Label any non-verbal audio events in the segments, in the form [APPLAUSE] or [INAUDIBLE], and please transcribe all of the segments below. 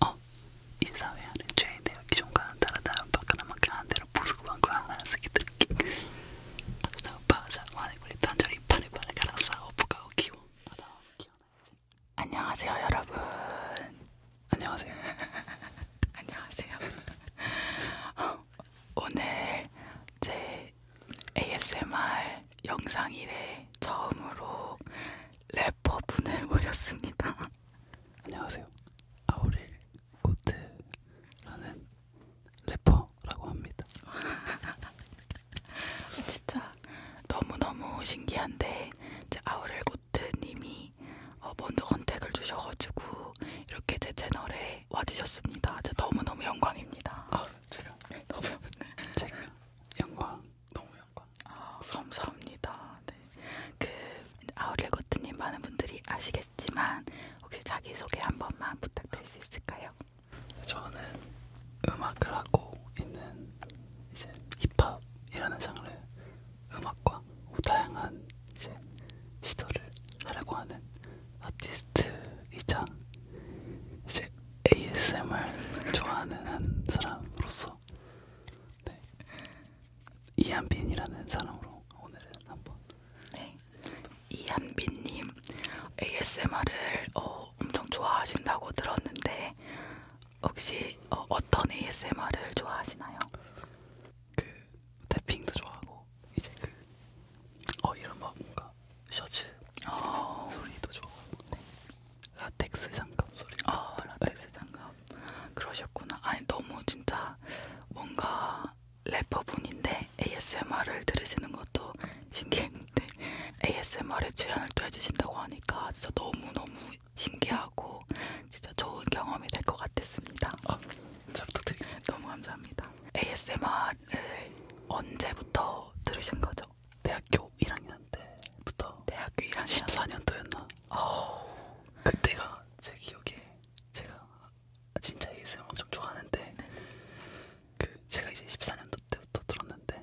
어, 이 사회하는 죄에 대해 기존과는 다르다면 바깥나만큼 한대로 보수구방과 하나씩 기들기 악사와 파자, 와네구리, 단절이, 파리파리, 가라사, 오프가, 오키오, 아다, 오키오, 나이지 안녕하세요 여러분. 안녕하세요. [LAUGHS] 안녕하세요. [LAUGHS] 오늘 제 ASMR 영상 이래 처음으로 래퍼 분을 모셨습니다. 안녕하세요. 아우릴 코트라는 래퍼라고 합니다. [LAUGHS] [LAUGHS] 진짜 너무너무 신기한데 이제 아우렐고트님이 어 먼저 컨택을 주셔가지고 이렇게 제 채널에 와주셨습니다. 진짜 너무너무 영광입니다. 아 제가 너무 [LAUGHS] 제가 영광 너무 영광. 아 감사합니다. 네. 그 아우렐고트님 많은 분들이 아시겠지만 혹시 자기 소개 한 번만 부탁드릴 수 있을까요? 저는 음악을 하고 있는 이제 힙합이라는 장르 음악과 다양한 이제 시도를 하려고 하는 아티스트이자 이제 ASMR 좋아하는 한 사람으로서 네. 이한빈이라는 사람으로 오늘은 한번 네. 이한빈님 ASMR을 어, 엄청 좋아하신다고 들었는데 혹시 어, 어떤 ASMR을 좋아하시나요? 그 태핑도 좋아하고 이제 그어 이런 막 뭐 뭔가 셔츠 어. 소리도 좋아하고 네. 라텍스 장갑 소리. 아 어, 라텍스 네. 장갑 그러셨구나. 아니 너무 진짜 뭔가 래퍼 분인데 ASMR을 들으시는 것도 [LAUGHS] 신기했는데 ASMR에 출연을 또 해주신다고 하니까 진짜 너무 너무 신기하고 진짜 좋은 경험이 될 것 같았습니다. 아, 잘 부탁드리겠습니다. 너무 감사합니다. ASMR을 언제부터 들으신 거죠? 대학교 1학년 때부터. 대학교 1학년 14년도였나? 어. 그때가 제 기억에 제가 진짜 ASMR 엄청 좋아하는데 네. 그 제가 이제 14년도 때부터 들었는데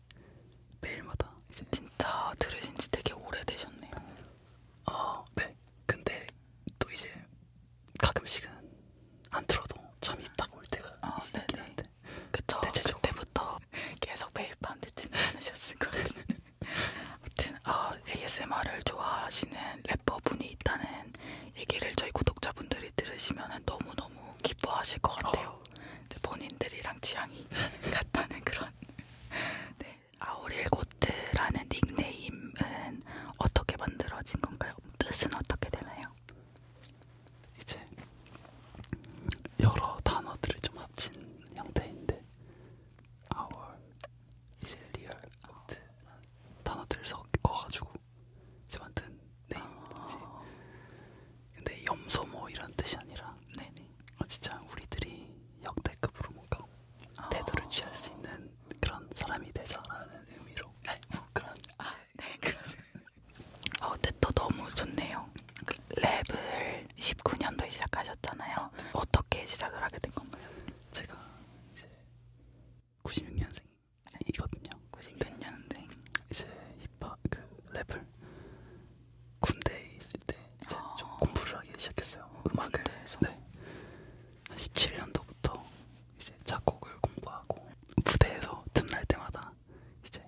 매일마다 이제 진짜 들으신 지 되게 오래되셨네요. 아, 네. 근데 또 이제 가끔씩은 안 들어도 잠이 딱 올 때가 아, 있긴 한데. 그쵸. 대체적으로. 그때부터 [LAUGHS] 계속 매일 밤 듣진 않으셨을 것 같은데. [LAUGHS] 아무튼 아, ASMR을 좋아하시는 래퍼분이 있다는 얘기를 저희 구독자분들이 들으시면 너무너무 기뻐하실 것 같아요. 어, 같아요. 이제 본인들이랑 취향이 [LAUGHS] 같다는 그런. [LAUGHS] 네. 아우릴 고트라는 닉네임은 어떻게 만들어진 건가요? 뜻은 어떻게 되나요? 이제 여러 단어들을 좀 합친 형태인데 아월 이제 리얼 아트 단어들 섞어가지고 이제 만든 네임 아... 근데 염소 뭐 이런 뜻이 아니라 네네. 어, 진짜 우리들이 역대급으로 뭔가 아... 태도를 취할 수 있는 그런 사람이 되자라는 의미로 네, 뭐 그런 아, 네, [LAUGHS] 그런 아, 근데 또 너무 좋네요. 그 랩을 19년도에 시작하셨잖아요. 아, 네. 어떻게 시작을 하게 된 건가요? 제가 이제 96년생이거든요. 96년생. 이제 힙합 그 랩을 군대에 있을 때 이제 아. 좀 공부를 하기 시작했어요. 음악을. 군대에서. 네. 한 17년도부터 이제 작곡을 공부하고 무대에서 틈날 때마다 이제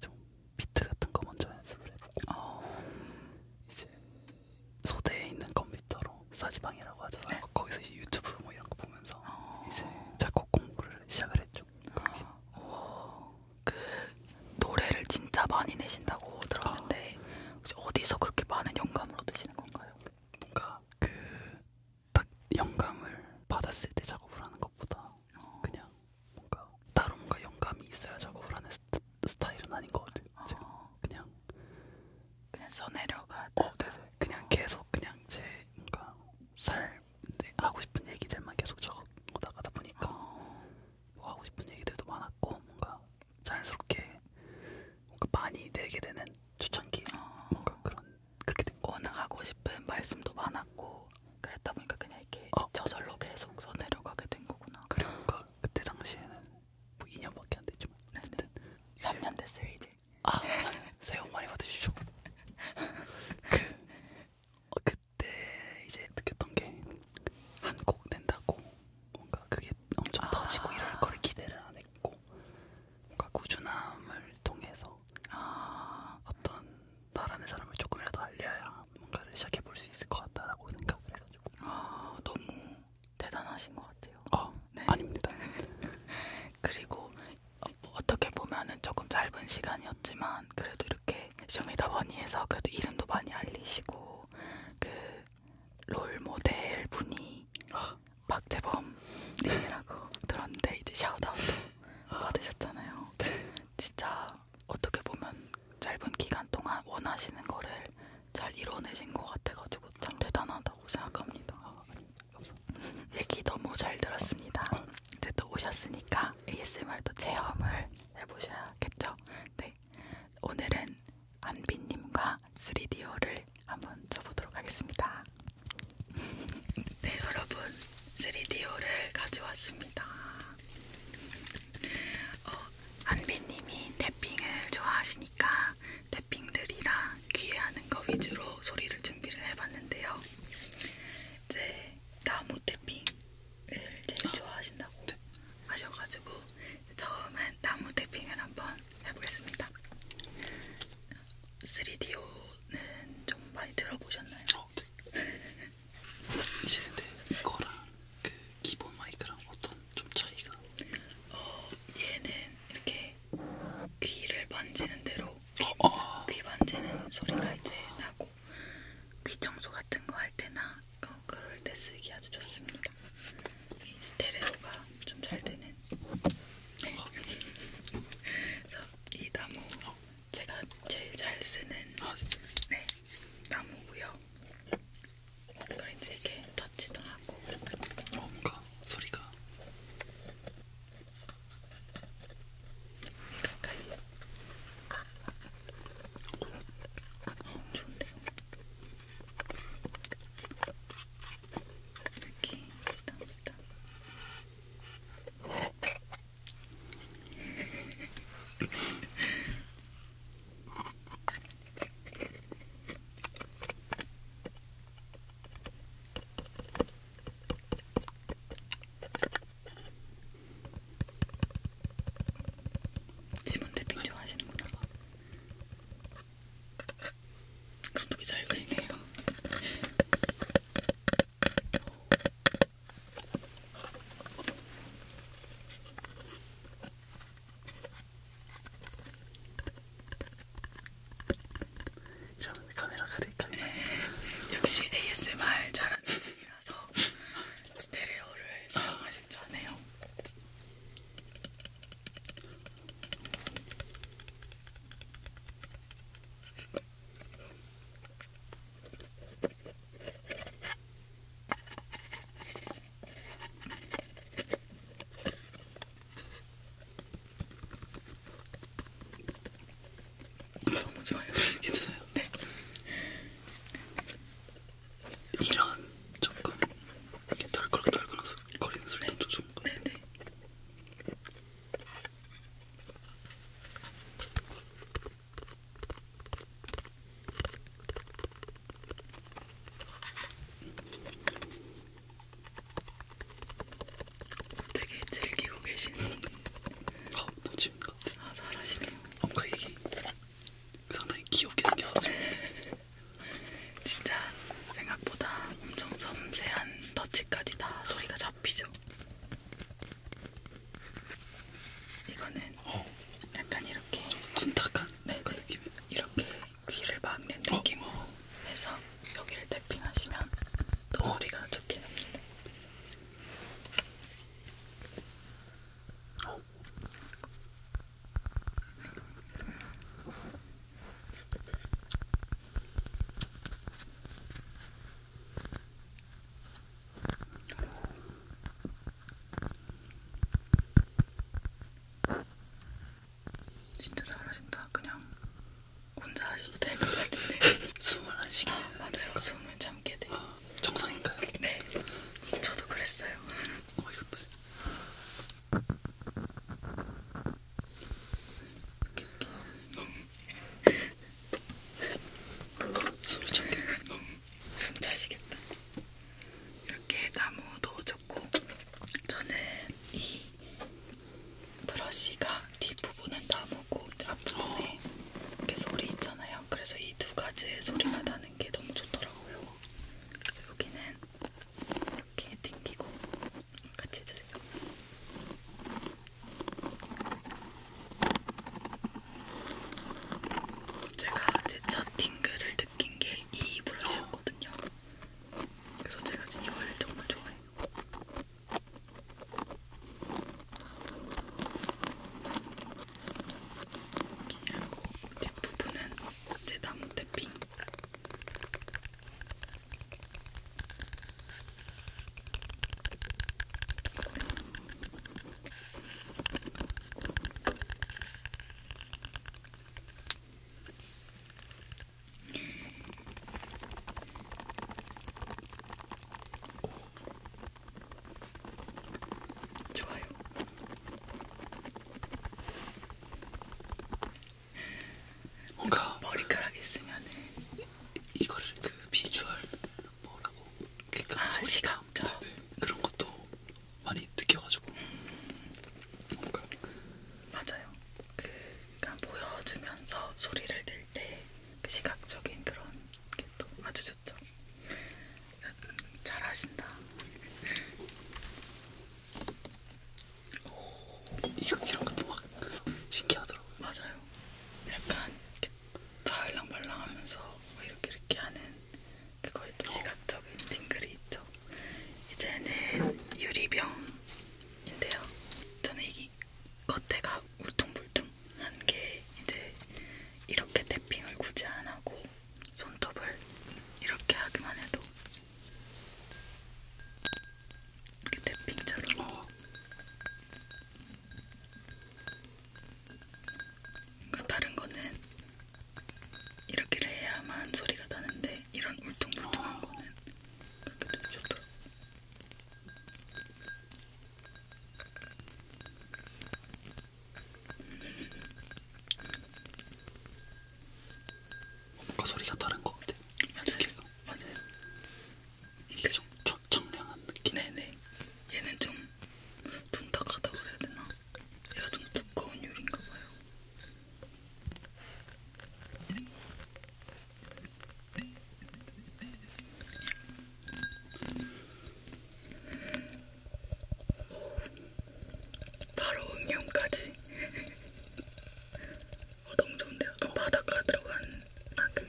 좀 비트 같은 거 먼저 연습을 해보고 어. 이제 소대에 있는 컴퓨터로 사지방이라고 하잖아요. 네. 거기서 이제 유튜브 뭐 이런 거 보면서 어. 이제 작곡 공부를 시작을 했죠. 어, 그 노래를 진짜 많이 내신다고 들었는데 아. 혹시 어디서 그렇게 많은 영감을 얻으시는 건가요? 뭔가 그 딱 영감을 받았을 때 작업을 하는 것보다 어. 그냥 뭔가 따로 뭔가 영감이 있어야 작업을 하는 스타, 스타일은 아닌 것 같아요. 어. 그냥 그냥 써내려가. 어, 네네. 그냥 계속 그냥 제 뭔가 살 하고 싶은 얘기들만 계속 적어나가다 보니까 어. 뭐 하고 싶은 얘기들도 많았고 뭔가 자연스럽게 뭔가 많이 내게 되는 초창기 어. 뭔가 그런 그렇게 된 거. 워낙 하고 싶은 말씀도 많았고 그랬다 보니까 그냥 이렇게 어. 저절로 계속 서 내려가게 된 거구나. 그러니까 그때 당시에는 뭐 2년밖에 안 됐지만 어쨌든 3년 됐어요 이제. 아, 새해 복 많이 받으시죠. [LAUGHS] 그, 어, 그 그때 이제 느꼈던 게 한 곡 낸다고 뭔가 그게 엄청 아 터지고 이럴 걸 기대를 안 했고 뭔가 꾸준함을 통해서 아 어떤 나라는 사람을 조금이라도 알려야 뭔가를 시작해 볼 수 있을 것 같다라고 생각을 해가지고 아 너무 대단하신 것 같아요. 어, 네. 아닙니다. [LAUGHS] 그리고 어, 어떻게 보면은 조금 짧은 시간이었지만 그래도 이렇게 쇼미더머니에서 그래도 이름도 많이 알리시고 그 롤모델 분이 박재범님이라고 들었는데 이제 샤우다운도 받으셨잖아요. 네. 진짜 어떻게 보면 짧은 기간 동안 원하시는 거를 잘 이뤄내신 것 같아가지고 참 대단하다고 생각합니다. 아, [LAUGHS] 얘기 너무 잘 들었습니다. 이제 또 오셨으니까 ASMR도 체험을 해보셔야겠죠. 네, 오늘은 안비님과 3D어를 한번 쳐보도록 하겠습니다. [LAUGHS] 네, 여러분 3D어를 가져왔습니다. 어, 안비님이 탭핑을 좋아하시니까 탭핑들이랑 귀에 하는 거 위주로 소리를 준비를 해봤는데요. 이제 네, 나무 탭핑 를 네, 제일 좋아하신다고 네. 하셔가지고 처음엔 나무 태핑을 한번 해보겠습니다. 3DO는 좀 많이 들어보셨나요? 어, 네. [LAUGHS] 이제 근데 이거랑 그 기본 마이크랑 어떤 좀 차이가? 어, 얘는 이렇게 귀를 만지는 대로 귀, 어, 어. 귀 만지는 소리가 이제 나고 귀 청소 같은 거 할 때나 그, 그럴 때 쓰기 아주 좋습니다. 이 스테레오가 좀 잘 되는. 네. 그래서 이 나무 제가 제일 잘 쓰는 네, 나무고요. 그래서 이렇게 터치도 하고. 어, 뭔가 소리가. 가까이 좋은데요? 이렇게 담습다 지문 대핑 좋아하시는구나. 손톱이 잘 그리네요. 이런 카메라 가리니까 [LAUGHS] 역시 ASMR 잘하는 분이라 따라서 스테레오를 사용하실 줄 아네요. 너무 좋아요. [LAUGHS] 괜찮아요. 네. 네. 이런 조금 이렇게 덜그럭덜그럭 거리는 소리도 좀 좋은 것 같아요. 네, 네. 되게 즐기고 계시는. 아, 멋집니다. 아, 잘하시네요. 뭔가 이게 상당히 귀엽게 생겼어요. [LAUGHS] 진짜 생각보다 엄청 섬세한 터치까지 다 소리가 잡히죠. 이거는 어. 약간 이렇게 둔탁한 네, 네, 그 느낌. 이렇게 귀를 막는 느낌으로 어, 어. 해서 여기를 탭핑하시면 더 어. 소리가 어. 좋게 납니다. 진짜 잘하신다. 그냥 혼자 하셔도 되는 것 같은데. [LAUGHS] 숨을 안 쉬게. 아, 맞아요. 숨을 잘 담게 돼요. 아, 정상인가요? 네. 저도 그랬어요. 어, 이것도. 음. 숨이 참겠네. 음. 숨 차시겠다. 이렇게 나무도 좋고 저는 이 브러쉬가 뒷부분은 나무고 앞부분에 어. 이렇게 소리 있잖아요. 있잖아요. 그래서 이 두 가지의 소리가 나는 게 너무 좋더라고요. 여기는 이렇게 튕기고 같이 해주세요. 제가 제첫 팅글을 느낀 게이 브러쉬였거든요. 그래서 제가 이걸 정말 좋아해요. 그리고 뒷부분은 이제 나무 태핑. 좋아요. 뭔가 머리카락 있으면은 이거를 그 비주얼 뭐라고 그러니까 아, 소리가 네네, 그런 것도 많이 느껴가지고 음. 뭔가 맞아요. 그 그러니까 보여주면서 소리를 낼때그 시각적인 그런 게또 아주 좋죠. 잘하신다. 오, 이거 이런 것도 막 신기하더라고. 맞아요. 약간 이렇게 달랑말랑하면서 뭐 이렇게 이렇게 하는 그거의 또 어. 시각적인 팅글이 있죠. 이제는 유리병인데요. 저는 이 겉에가 울퉁불퉁한 게 이제 이렇게 탭핑을 굳이 안 하고 손톱을 이렇게 하기만 해도 이렇게 탭핑처럼 어. 그러니까 다른 거는 이렇게 해야만 소리가 나는데 이런 울퉁불퉁한 어. 거는 그렇게 되게 좋더라고. 뭔가 소리가 다른 것 같아. 맞아요. 맞아요. 이게 좀 청, 청량한 느낌. 네네. 얘는 좀 둔탁하다고 해야 되나? 얘가 좀 두꺼운 유리인가 봐요. 바로 음영까지 어, 너무 좋은데요? 약간 그 바닷가 들어간 아, 그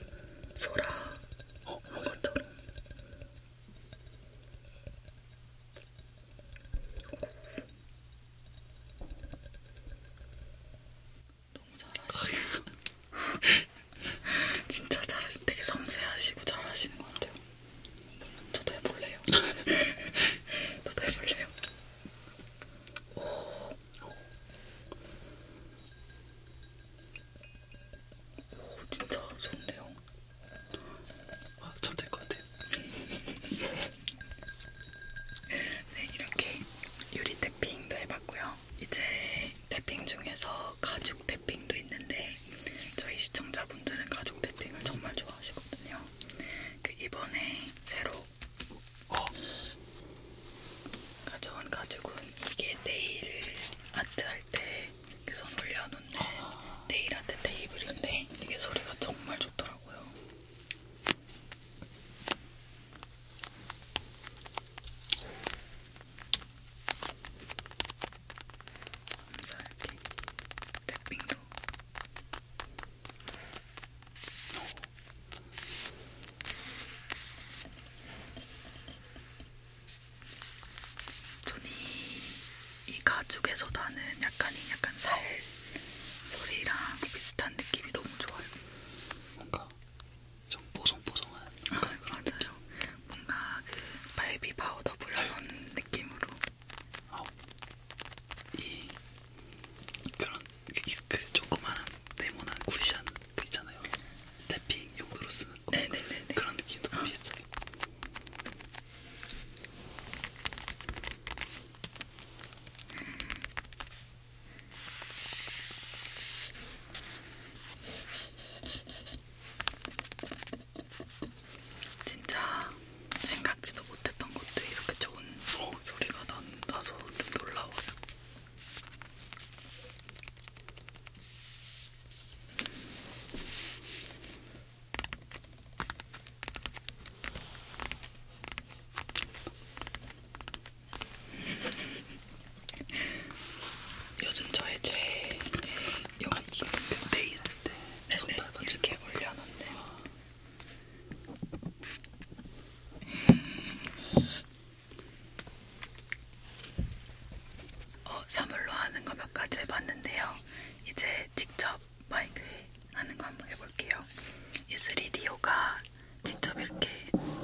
소라 어, 것처럼 너무 잘하시네요. [LAUGHS] 진짜 잘하시고 되게 섬세하시고 잘하시는 것 같아요. 저도 해볼래요. [LAUGHS] 저도 해볼래요. 오. 오, 진짜 좋은데요? 와, 아, 잘될것 같아요. 네, 이렇게 유리 탭핑도 해봤고요. 이제 탭핑 중에서 가죽 태핑도 있는데 저희 시청자분들은 가죽 태핑을 정말 좋아하시거든요. 그 이번에 새로 어. 가져온 가죽은 이게 네일 아트 할때 손 올려놓는 네일 아트 테이블인데 이게 소리가 정말 좋더라고요. 암살핑 음, 랩핑도 저는 이, 이 가죽에서 나는 약간 이 약간 살 소리랑 비슷한 느낌이 너무 좋아요. 뭔가 좀 뽀송뽀송한. 아, 그런 맞아요. 느낌. 뭔가 그 발비 파우더 불려놓은 네. 느낌으로 어, 이 그런 그, 그 조그만한 네모난 쿠션 있잖아요. 태핑 용도로 쓰는 거 네네네. 네, 네, 네. 그런 느낌도 어. 비슷해. 음. 진짜 생각지도 못했던 것들 이렇게 좋은 어, 소리가 난, 나서 좀 놀라워요. [LAUGHS] 요즘 저의 죄의 여기 내일 할때 네네 이렇게 네, 네, 올려놨네요 어, 사물로 하는 거 몇 가지 해봤는데요 이제 직접 마이크에 하는 거 한번 해볼게요 이 3D 요가 직접 이렇게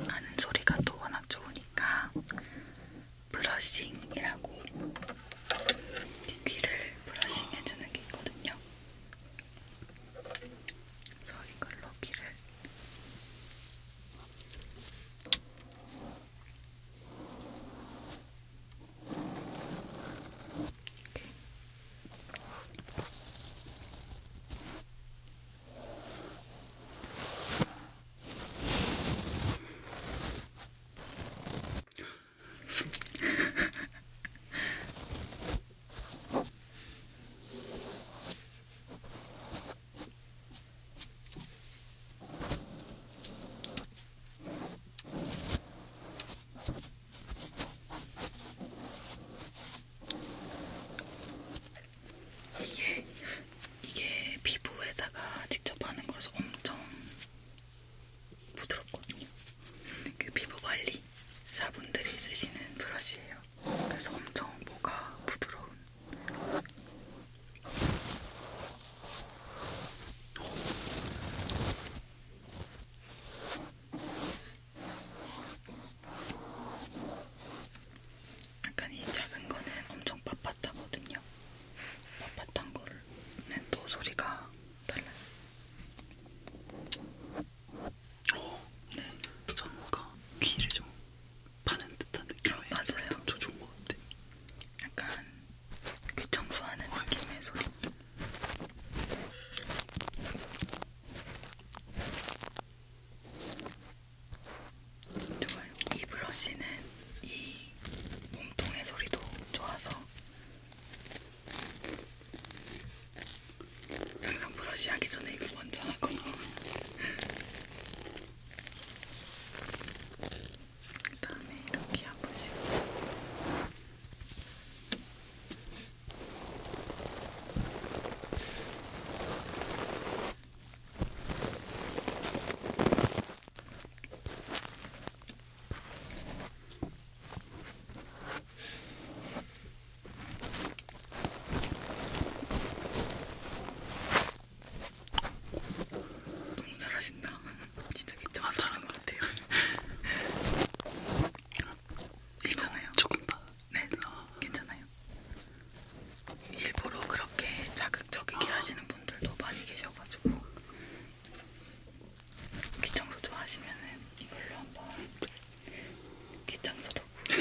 하는 소리가 또 워낙 좋으니까 브러싱이라고 귀를 브러싱해주는 게 있거든요. 그래서 이걸로 귀를 이게 이게 피부에다가 직접 하는 거라서 엄청 부드럽거든요. 그 피부관리 사분들이 쓰시는 브러쉬예요. 그래서 엄청 뭐가 부드러운. 약간 이 작은 거는 엄청 빳빳하거든요. 빳빳한 거는 또 소리가 달라요. 어, 네. 저는 뭔가 귀를 좀 파는 듯한 느낌의 아, 맞아요. 좀 좋은 것 같아요. 약간 귀 청소하는 어, 느낌의 소리. 좋아요. 이 브러쉬는 이 몸통의 소리도 좋아서 약간 브러쉬 하기 전에 이거 먼저 하거나 그 다음에 이렇게 한 번씩 너무 잘하신다. [LAUGHS] 진짜 괜찮아 잘하는 것 같아요. [LAUGHS] 괜찮아요. 조금 더. 네, 괜찮아요. 일부러 그렇게 자극적이게 아. 하시는 분들도 많이 계셔가지고 귀청소 좋아하시면은 이걸로 한번 귀청소 덕후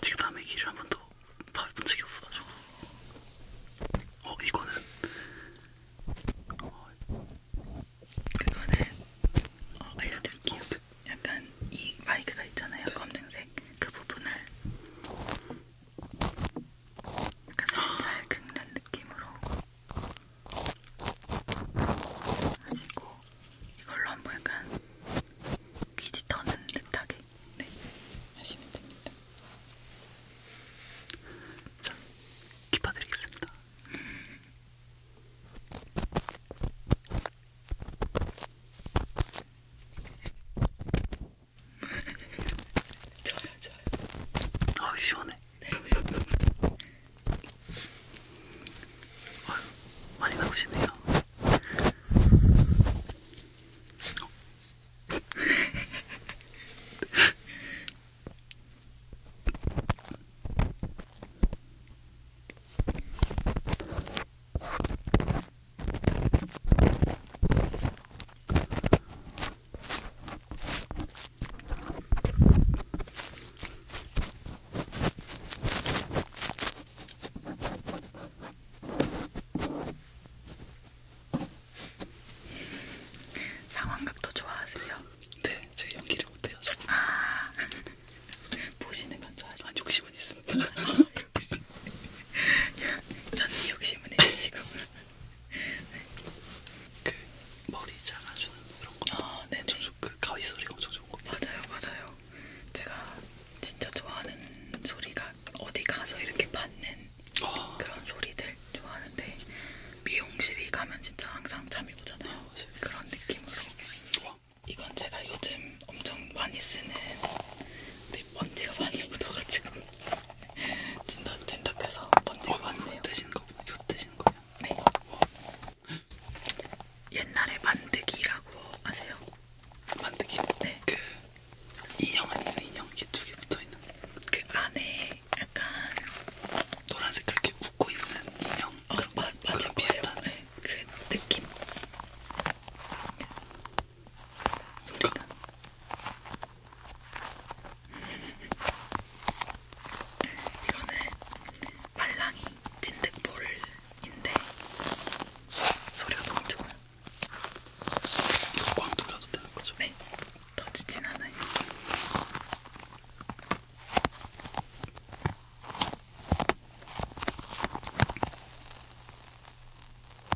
지금 남의 귀를 한 번도 봐본 적이 없어가지고 어 이거는 어, 그거는 어, 알려드릴게요 약간 이 마이크가 있잖아요 검정색 그 부분을 약간 살살 긁는 느낌으로 하시고 이걸로 한번 약간 귀지 터는 듯하게 네, 하시면 됩니다. 전 기뻐드리겠습니다. 저요 저요 아우 시원해 네. 아유, 많이 나오시네요 상황극도 좋아하세요? 네, 제가 연기를 못해가지고. 아, [LAUGHS] 보시는 건 좋아하시죠? 아, 욕심은 있습니다. 아, 욕심. 연기 욕심은 있으시고. 그 머리 잘라주는 그런 거. 아, 네. 그 가위 소리가 엄청 좋은 거. 맞아요, 맞아요. 제가 진짜 좋아하는 소리가 어디 가서 이렇게 받는 아. 그런 소리들 좋아하는데 미용실이 가면 진짜 항상 잠이 오잖아요. 아, 그런 느낌으로. 와. 이건 제가 요즘 엄청 많이 쓰는. 근데 먼지가 많이 묻어가지고 진덕 진덕해서 번데기 왔네요. 드시는 거, 이거 드시는 거요? 네. 와. 옛날에 만드기라고 아세요? 만드기? 네. 그 인형 아니에요? 인형 이게 두개 붙어 있는. 그 안에 약간 노란색 그렇게 웃고 있는 인형. 어, 그런 맞아, 비슷한. 네. 그 느낌. 소리가 이거는 말랑이 진드볼인데 소리가 너무 좋아요. 이거 꽝 돌려도 되는 거죠? 네, 터지진 않아요.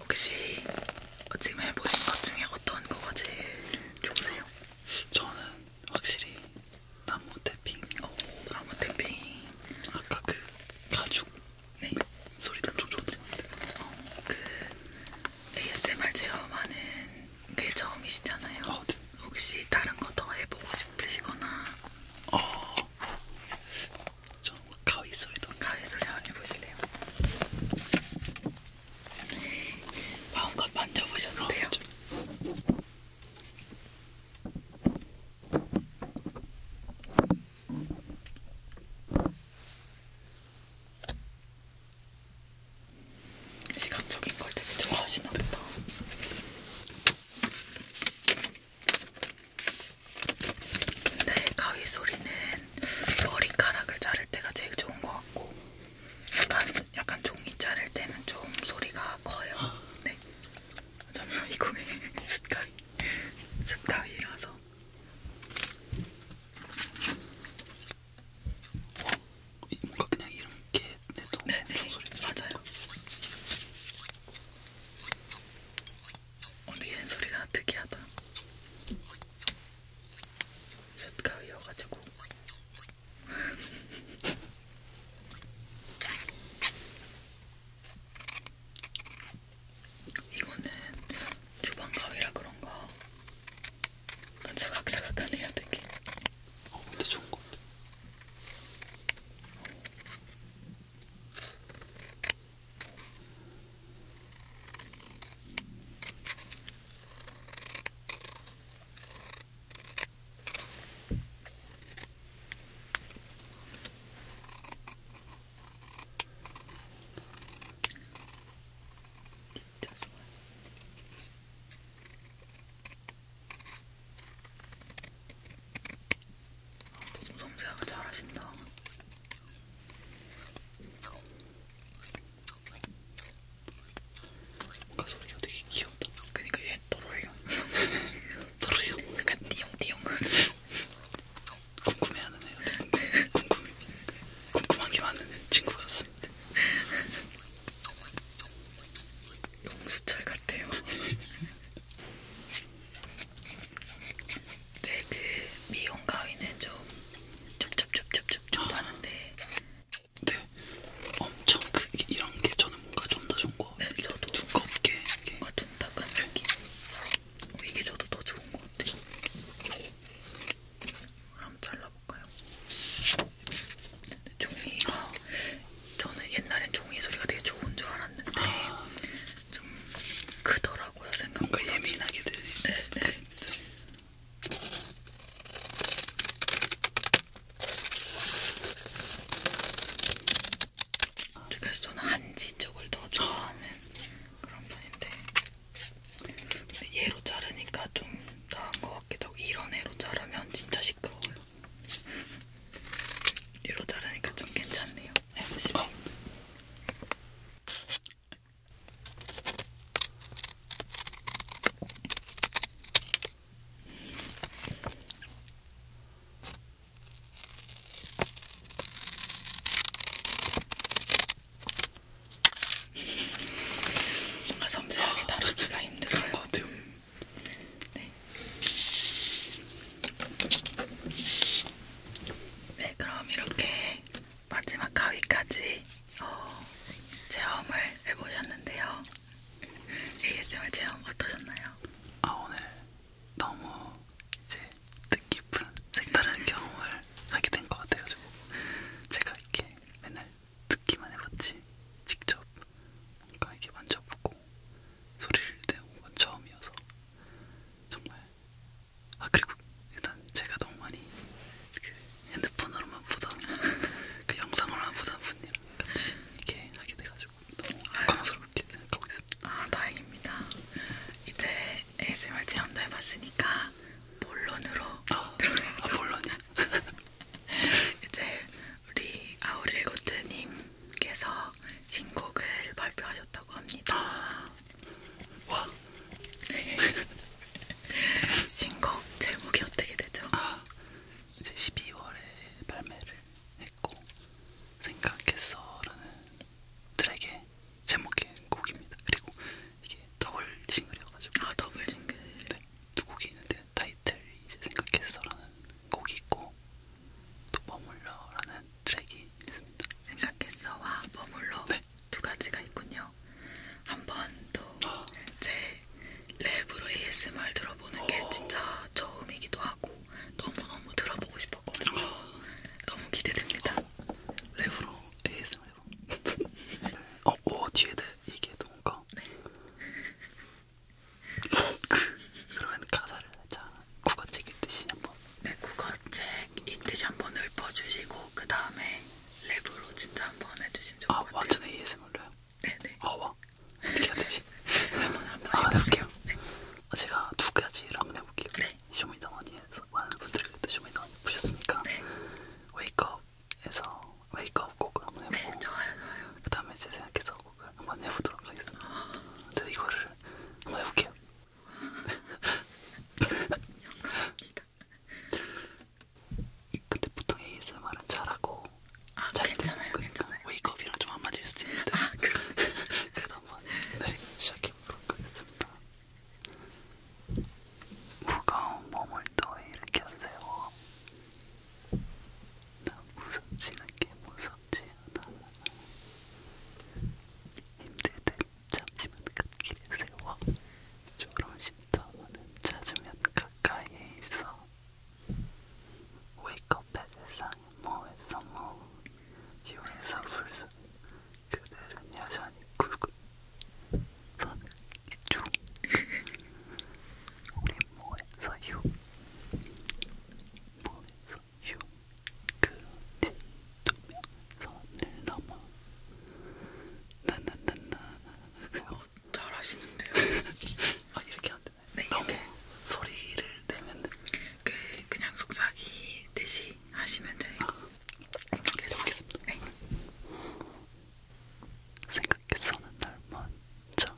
혹시 지금 해보신 것 중에 어떤 거가 제일 좋으세요? 저는 확실히 나무 태핑. 오, 나무 태핑. 아까 그 가죽. 네. 소리도 좀 좋던데. 어, 그 ASMR 체험하는 게 처음이시잖아요. 어, 네. 혹시 다른 거더 해보고 싶으시거나? 어, 저 가위 소리도 가위 소리 한번 해보실래요? 마음껏 만져보셔도 돼요. 아, 시각적인 걸 되게 좋아하시나 보다. 근데 네, 가위 소리는 머리카락을 자를 때가 제일 좋은 것 같고 약간 약간 종이 자를 때는 좀 소리가 커요. 네. 잠시만 이거 왜 숫가위 숫가위라서. 뭔가 어, 그냥 이렇게 내도 네네 소리 맞아요. 어, 니은 소리가 특이하다. 쇳가위여가지고. [LAUGHS] 이거는 주방가위라 그런가. 약간 사각사각하네요, 되게. 어, 근데 좋은 것 같아. 어. 진짜 좋아. 아, 너무 섬세하게 잘하신다. 뭔가 소리가 되게 귀엽다. 그니까 얘 또로형, 또로형, [LAUGHS] 약간 띠용띠용. 궁금해하는 애요. 궁금해, 궁금한 게 많은 친구 같습니다. 용수철 같아요. [LAUGHS] 네, 그 미용 가위는 좀 쩝쩝쩝쩝쩝 아. 하는데 네, 엄청 그 이런 게 저는 뭔가 좀 더 좋은 거 네, 저도 두껍게 뭔가 둔탁한 네. 느낌 네. 이게 저도 더 좋은 것 같아요 한번 잘라볼까요? 종이가 아. 저는 옛날엔 종이 소리가 되게 좋은 줄 알았는데 아. 좀 크더라고요 생각보다 뭔가 예민하게 들리네 네. 네. 됩니다. 그래서 저는 한지 쪽을 더 좋아하는 그런 분인데 근데 얘로 자르니까 좀 나은 것 같기도 하고 이런 애로 자르면 진짜 시끄러워요. [LAUGHS] 얘로 자르니까 좀 괜찮네요. 해보시면 뭔가 섬세하게 다루기가 힘들어요. 네. 네, 그럼 이렇게 마지막 가위까지 어, 체험을 해보셨는데요. ASMR 체험 어떠셨나요? 아 오늘 너무 이제 뜻깊은 색다른 경험을 하게 된 것 같아가지고 제가 이렇게 맨날 듣기만 해봤지 직접 뭔가 이렇게 만져보고 소리를 내고 건 처음이어서 정말 아 그리고 일단 제가 너무 많이 그 핸드폰으로만 보던 그 영상으로만 보던 분이랑 같이 이렇게 하게 돼가지고 너무 감사스럽게 생각하고 있습니다. 아 다행입니다. 이제 ASMR 체험도 해봤으니까 본론으로 아, 들어가요. 아 본론이야? [LAUGHS] 이제 우리 아우릴고트님께서 신곡을 발표하셨다고 합니다. 아, 와. [LAUGHS] 신곡 제목이 어떻게 되죠? 아, 이제 12월에 발매를 했고 생각했어라는 트랙의 제목의 곡입니다. 그리고 이게 더블 싱글이어가지고. 아 더블 싱글. 네, 두 곡이 있는데 타이틀이 이제 생각했어라는 곡이 있고 또 머물러라는 트랙이 있습니다. 생각했어와 머물러. 네. 네. 두 가지가 있군요. 한번또제 랩으로 ASMR 들어보는 게 어. 진짜 처음이기도 하고 너무너무 들어보고 싶었거든요. 어. 너무 기대됩니다. 랩으로 ASMR로. 어, 오, 어, 뒤에 대 얘기해도 뭔가. 네. [LAUGHS] 그, 그러면 가사를 자 국어 책읽듯이 한번. 네, 국어 책 읽듯이 한번 읊어주시고 그 다음에 랩으로 진짜 한 번 해주시면 좋을 아, 것 같아요. 아 완전 ASMR로요? 네네. 아 와. 어떻게 해야 되지? [LAUGHS] 한번 한번 아, 해볼게요. 네. 아, 제가 두 가지를 한번 해볼게요. 네. 쇼미더머니에서 많은 분들이 그때 쇼미더머니 보셨으니까 네. 웨이크업에서 웨이크업 곡을 한번 네, 해보고 네, 좋아요, 좋아요. 그 다음에 제 생각해서 곡을 한번 해보도록 하겠습니다. 아. 근데 이거를 한번 해볼게요. [LAUGHS] 영광입니다. 근데 보통 ASMR은 잘하고 아, 잘 괜찮아요, 그 괜찮아요. 웨이크업이랑 좀 안 맞을 수도 있는데 아, [LAUGHS] 그래도 한번 네, 시작해보도록 하겠습니다. 무거운 몸을 또 일으켜 세워 나 무섭지 않게 무섭지 않아 힘들 때 잠시만 갓길에 세워 졸음쉼터는 찾으면 가까이에 있어 웨이크업의 세상의 모에서 모 휴에서 불스 그들은 여전히 굵은 선은 이중 우리 모에서 휴 모에서 휴 그대 투명 선을 넘어 나나나나 어, 잘하시는데요? 아 이렇게 안 되나요? 네, 너무 이렇게. 소리를 내면 그 그냥 속삭이 듯이 하시면 돼요. 아, 계속 하겠습니다. 네. 생각해서는 날 먼저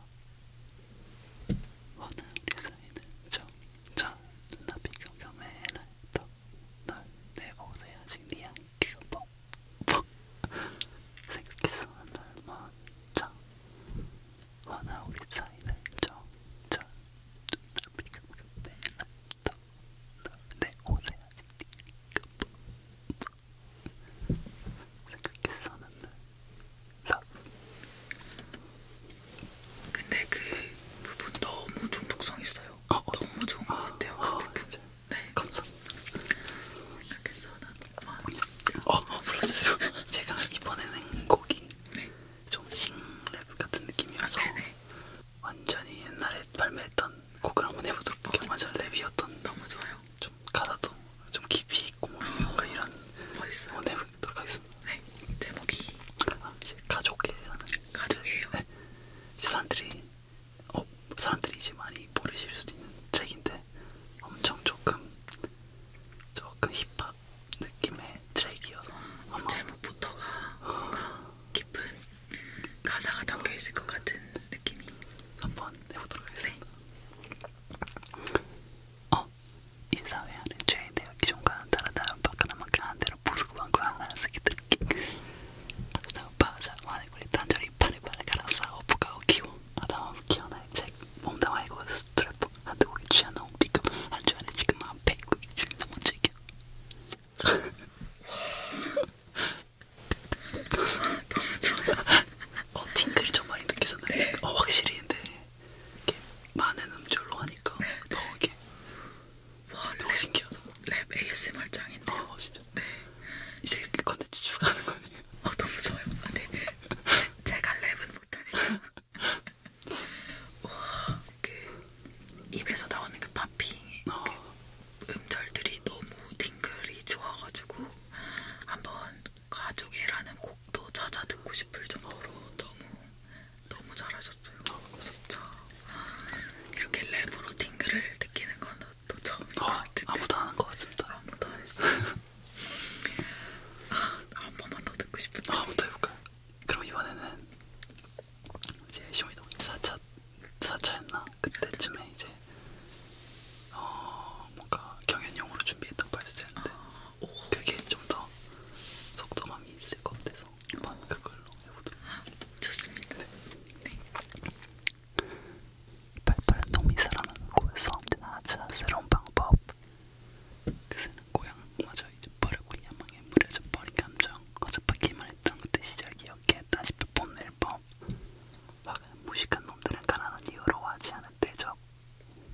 원하는 우리 사이는 정전 눈앞이 경험해 해날 더널내 오래 아직 네 안에 귀가 퍽퍽 생각했어 날만 자 하나 우리 사이는 정전 눈앞이가 내날또내 옷에 아직 네가 생각했어 난날 근데 그 부분 너무 중독성 있어요. 아, 너무 좋은 것 같아요. 아, 진짜. 네. 감사합니다. 그래서 어, 어, 불러주세요. [LAUGHS] 제가 이번에는 곡이 네. 좀 싱랩 같은 느낌이어서 네네. 완전히 옛날에 발매했던 곡을 한번 해보도록 할게요. 어, 네. 완전 랩이었던 너무 좋아요. 좀 가사도 좀 깊이 있고 뭔가 뭐 어, 아, 이런 멋있어요. 한번 해보도록 하겠습니다. 네. 제목이 아, 이제 가족이라는 가족이에요. 네. 이제 사람들이 어, 사람들이 이제 많이 모르실 수도 있는 트랙인데 엄청 조금 조금 힙합 느낌의 트랙이어서 아마 제목부터가 뭔가 깊은 가사가 담겨 있을 것 같은 느낌이 한번 해보도록 네. 하겠습니다. 네. 어, 이 사회하는 죄에 대해 기존과는 다르다. 바깥 남한테 대로 부수고 방구 하나 쓰기 들기. あとでバージャンはねこれ誕生日パレパレからさオプカを基本頭を気をないチェック몸 아, 담아이고 스트랩 한두국에 취한 너무 비급 한주 안에 지금 한 100이 넘은 즐겨 너무 좋아요 어 팅글이 좀 많이 느껴졌나요? 어 확실히 근데 이렇게 많은 음절로 하니까 더 이렇게 와 너무 랩, 신기하다. 랩 ASMR 짱인데. 어 진짜. 네. 이제 이렇게 컨텐츠 추가하는 거네요. [LAUGHS] 어 너무 좋아요. 아, 네. 제, 제가 랩은 못하니까. [LAUGHS] 와그 입에서 나오는 그 팝핑 어. 그 음절들이 너무 딩글이 좋아가지고 한번 가족이라는 곡도 찾아 듣고 싶을 정도로 어. 너무 너무 잘하셨어요. 어. 진짜. 이렇게 랩으로 팅글을 느끼는 건또 처음인 것 아, 같은데 아무도 안한것 같습니다 아무도 안 했어 아, 한 번만 더 듣고 싶은데 아, 한번더 해볼까요? 그럼 이번에는 이제 쇼미더 4차, 4차였나? 그때쯤에 이제 어, 뭔가 경연용으로 준비했던 발표였는데 아, 그게 좀 더 속도감이 있을 것 같아서 한번 그걸로 해보도록 아, 좋습니다. 네. 팔팔한 네. 놈이 살아나는 곳에서 언제나 하자 새로운 방법 그새는 고향마저 잊어버리고 야망에 무려져버린 감정 어젯밤 기만했던 그때 시작이 었기에 다시 뽐낼 법 화가는 무식한 놈들은 가난한 이유로 하지 않을 대접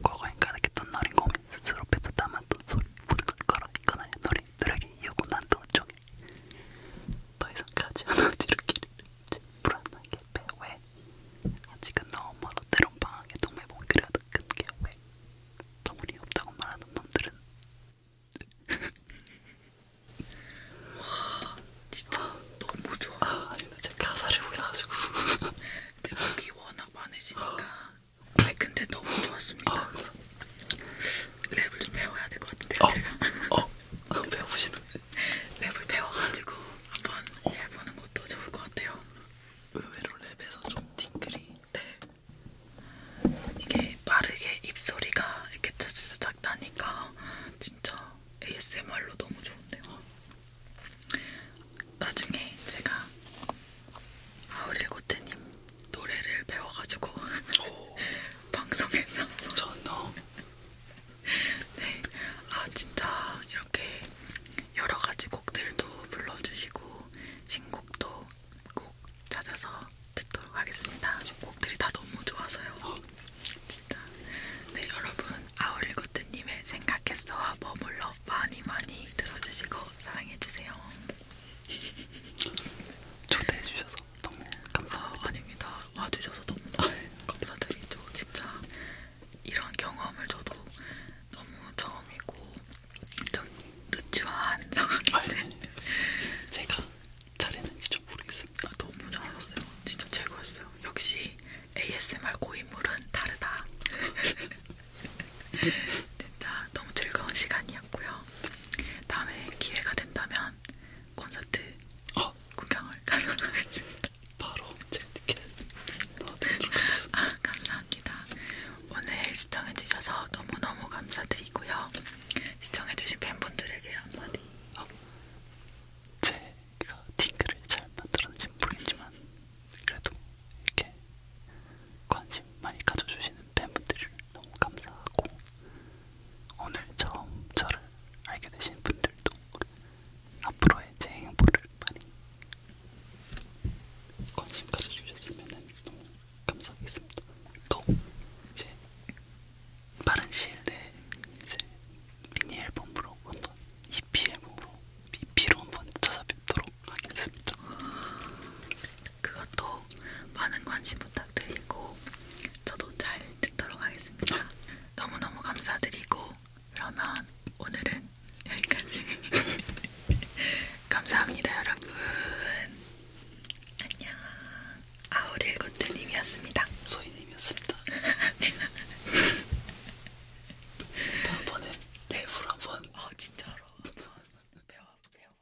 과거엔 가득했던 너린 고민 스스로 뱉어 담았던 소리 모든 걸 걸어 이거나야 너희들에게 이유고 난또 어쩌니 더 이상 가지 않아도 [LAUGHS] 이렇게 불안하게 빼왜 아직은 너무 멀어 때론 방학에 동물 목이라도 큰게 왜 정훈이 없다고 말하는 놈들은 [LAUGHS] 와 진짜 너무 좋아 아 아니 나 진짜 가사를 몰라가지고 매력이 [LAUGHS] 워낙 많으시니까 아 근데 너무 좋았습니다 아, 랩을 좀 배워야 될 것 같은데요. 어, 제가. 어, 어 [LAUGHS] 배워보시는. 랩을 배워가지고 한번 어. 해보는 것도 좋을 것 같아요. 의외로 랩에서 좀 팅글이. 네. 이게 빠르게 입소리가 이렇게 탁탁탁 나니까 진짜 ASMR로 너무 좋은데요. 나중에 제가 아우릴고트님 노래를 배워가지고 [LAUGHS] 방송에서 전어 [LAUGHS] 네, 아 진짜 이렇게 여러 가지 곡들도 불러주시고 신곡도 꼭 찾아서 듣도록 하겠습니다. 곡들이 다 너무 좋아서요. 어. 진짜. 네 여러분 아울리고트님의 생각했어와 머물러 많이 많이 들어주시고 사랑해주세요. 초대해주셔서 너무 감사합니다. 아닙니다. 와주셔서 너무 아. 감사드리죠. 진짜 이런 경험을 저도 너무 처음이고 좀 늦지만 [LAUGHS] 상황인데 제가 잘했는지 좀 모르겠습니다. 아, 너무 잘하셨어요. 진짜 최고였어요. 역시 ASMR 고인물은 다르다. [LAUGHS] 진짜 너무 즐거운 시간이었고요. 다음에 기회가 된다면 콘서트 어. 구경을 [LAUGHS] 가져가겠습니다. 바로 제가 티켓 넣어드리도록 하겠습니다. 아, 감사합니다. 오늘 시청해주셔서 너무너무 감사드리고요. 시청해주신 팬분들에게 한마디. 어. 제가 팅크를 잘 만들었는지 모르겠지만 그래도 이렇게 관심 많이 가져주시는 팬분들을 너무 감사하고 오늘 처음 저를 알게 되신 분들도 앞으로의 제 행보를 많이 관심 가져주셨으면 너무 감사하겠습니다. 또 이제 빠른 시일 내에 이제 미니 앨범으로 한번 EP 앨범으로 EP로 한번 찾아뵙도록 하겠습니다. 그것도 많은 관심 부탁. 부탁드리고 저도 잘 듣도록 하겠습니다. 너무너무 감사드리고 그러면 오늘은 여기까지. [LAUGHS] 감사합니다, 여러분. 안녕. 아우릴고트님이었습니다. 소희님이었습니다. [LAUGHS] 다음번에 랩으로 한번. 아 진짜로. 배워 배워 것 같아요.